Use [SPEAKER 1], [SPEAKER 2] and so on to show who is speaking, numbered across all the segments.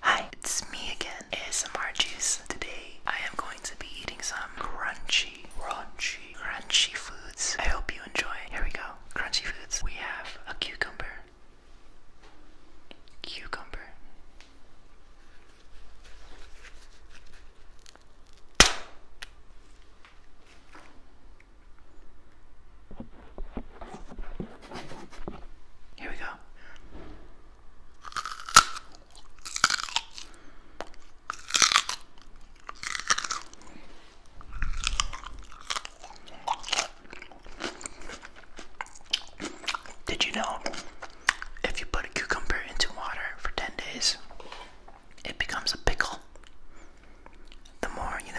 [SPEAKER 1] Hi, it's me again, ASMR Juice. Today I am going to be eating some crunchy, crunchy, crunchy foods. I hope you enjoy. Here we go. Crunchy foods. We have a cucumber. Cucumber. Here we go. Did you know if you put a cucumber into water for 10 days, it becomes a pickle? the more you know.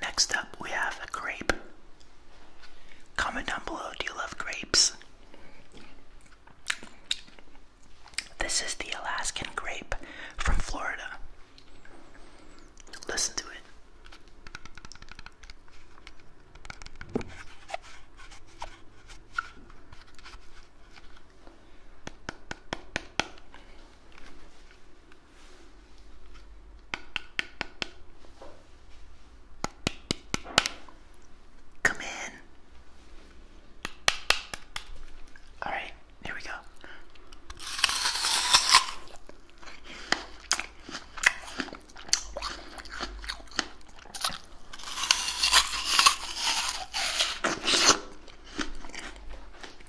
[SPEAKER 1] Next up, we have a grape. Comment down below, do you love grapes? This is the Alaskan grape from Florida. Listen to it. Come in. All right, here we go.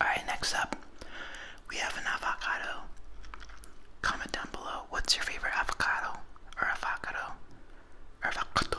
[SPEAKER 1] Alright, next up, we have an avocado. Comment down below what's your favorite avocado or avocado or avocado.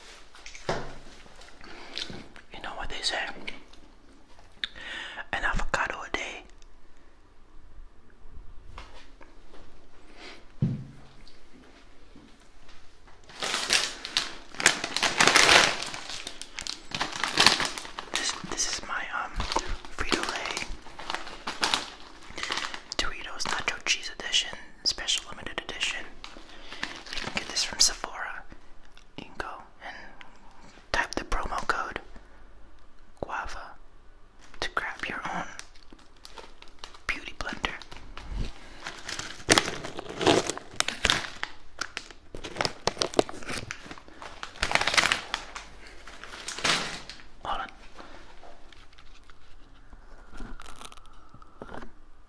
[SPEAKER 1] You know what they say? An avocado a day. This this is my um Frito Lay Doritos Nacho Cheese edition special limited edition. You can get this from Sephora. You can go and type the promo code guava to grab your own beauty blender. Hold on.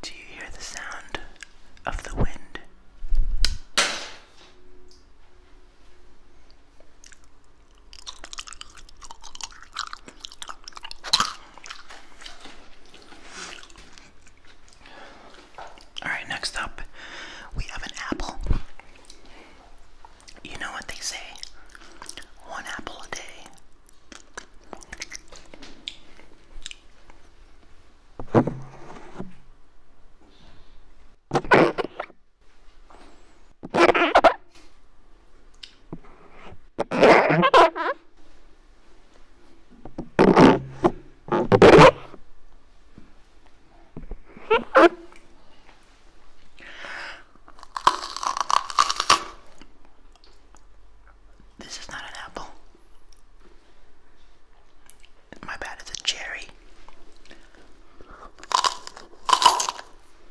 [SPEAKER 1] Do you hear the sound of the wind? All right, next up, we have an apple. You know what they say one apple a day. This is not an apple. My bad, it's a cherry.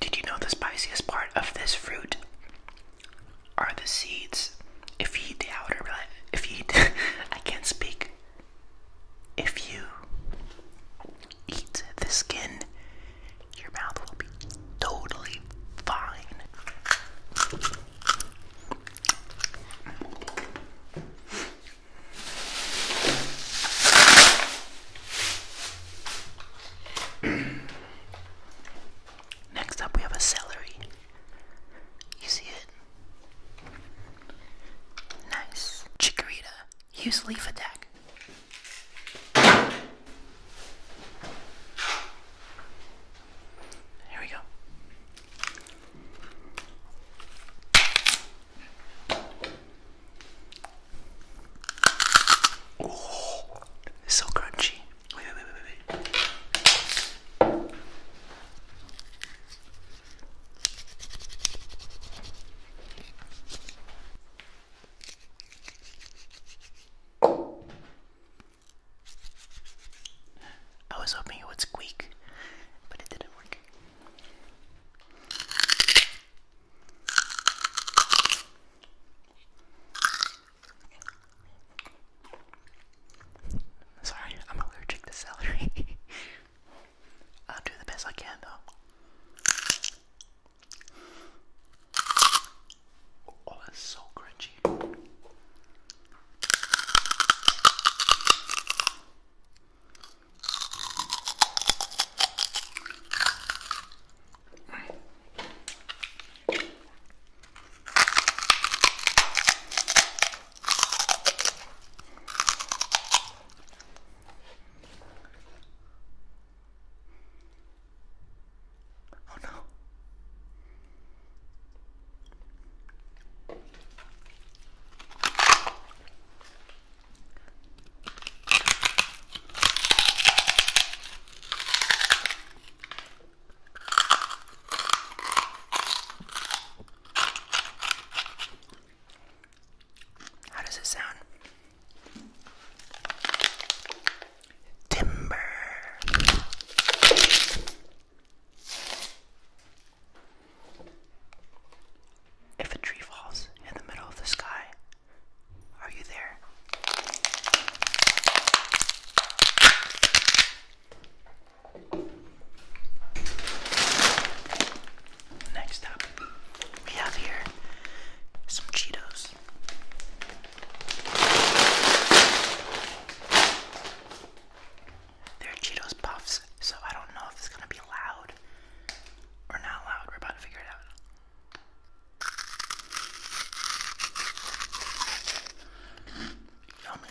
[SPEAKER 1] Did you know the spiciest part of this fruit are the seeds? If you eat the outer, if you I can't speak. If you eat the skin, your mouth will be totally fine. Next up, we have a celery. You see it? Nice. Chikorita. Use leaf attack. Here we go. Oh, it's so crunchy. Wait, wait, wait, wait, I was hoping it would squeak, but it didn't work. Sorry, I'm allergic to celery. I'll do the best I can though. Oh, that's so crunchy. Oh no. How does it sound? Timber. If a tree falls in the middle of the sky, are you there? Next up, we have here some Cheetos. They're Cheetos Puffs, so I don't know if it's gonna be loud or not loud. We're about to figure it out. Yummy.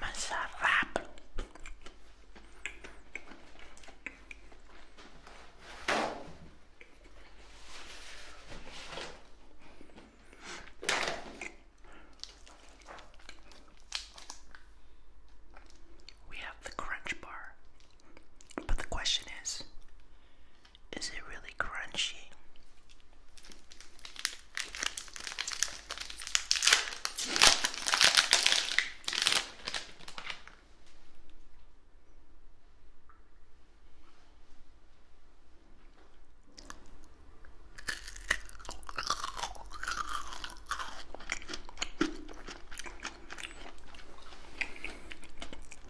[SPEAKER 1] Masarap. We have the crunch bar. But the question is is it really crunchy?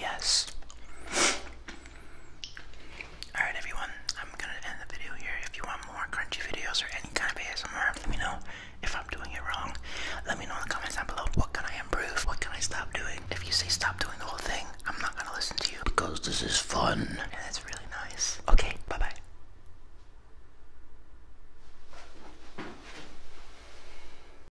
[SPEAKER 1] Yes. Alright, everyone, I'm gonna end the video here. If you want more crunchy videos or any kind of ASMR, let me know if I'm doing it wrong. Let me know in the comments down below what can I improve, what can I stop doing. If you say stop doing the whole thing, I'm not gonna listen to you because this is fun and really nice. Okay, bye bye.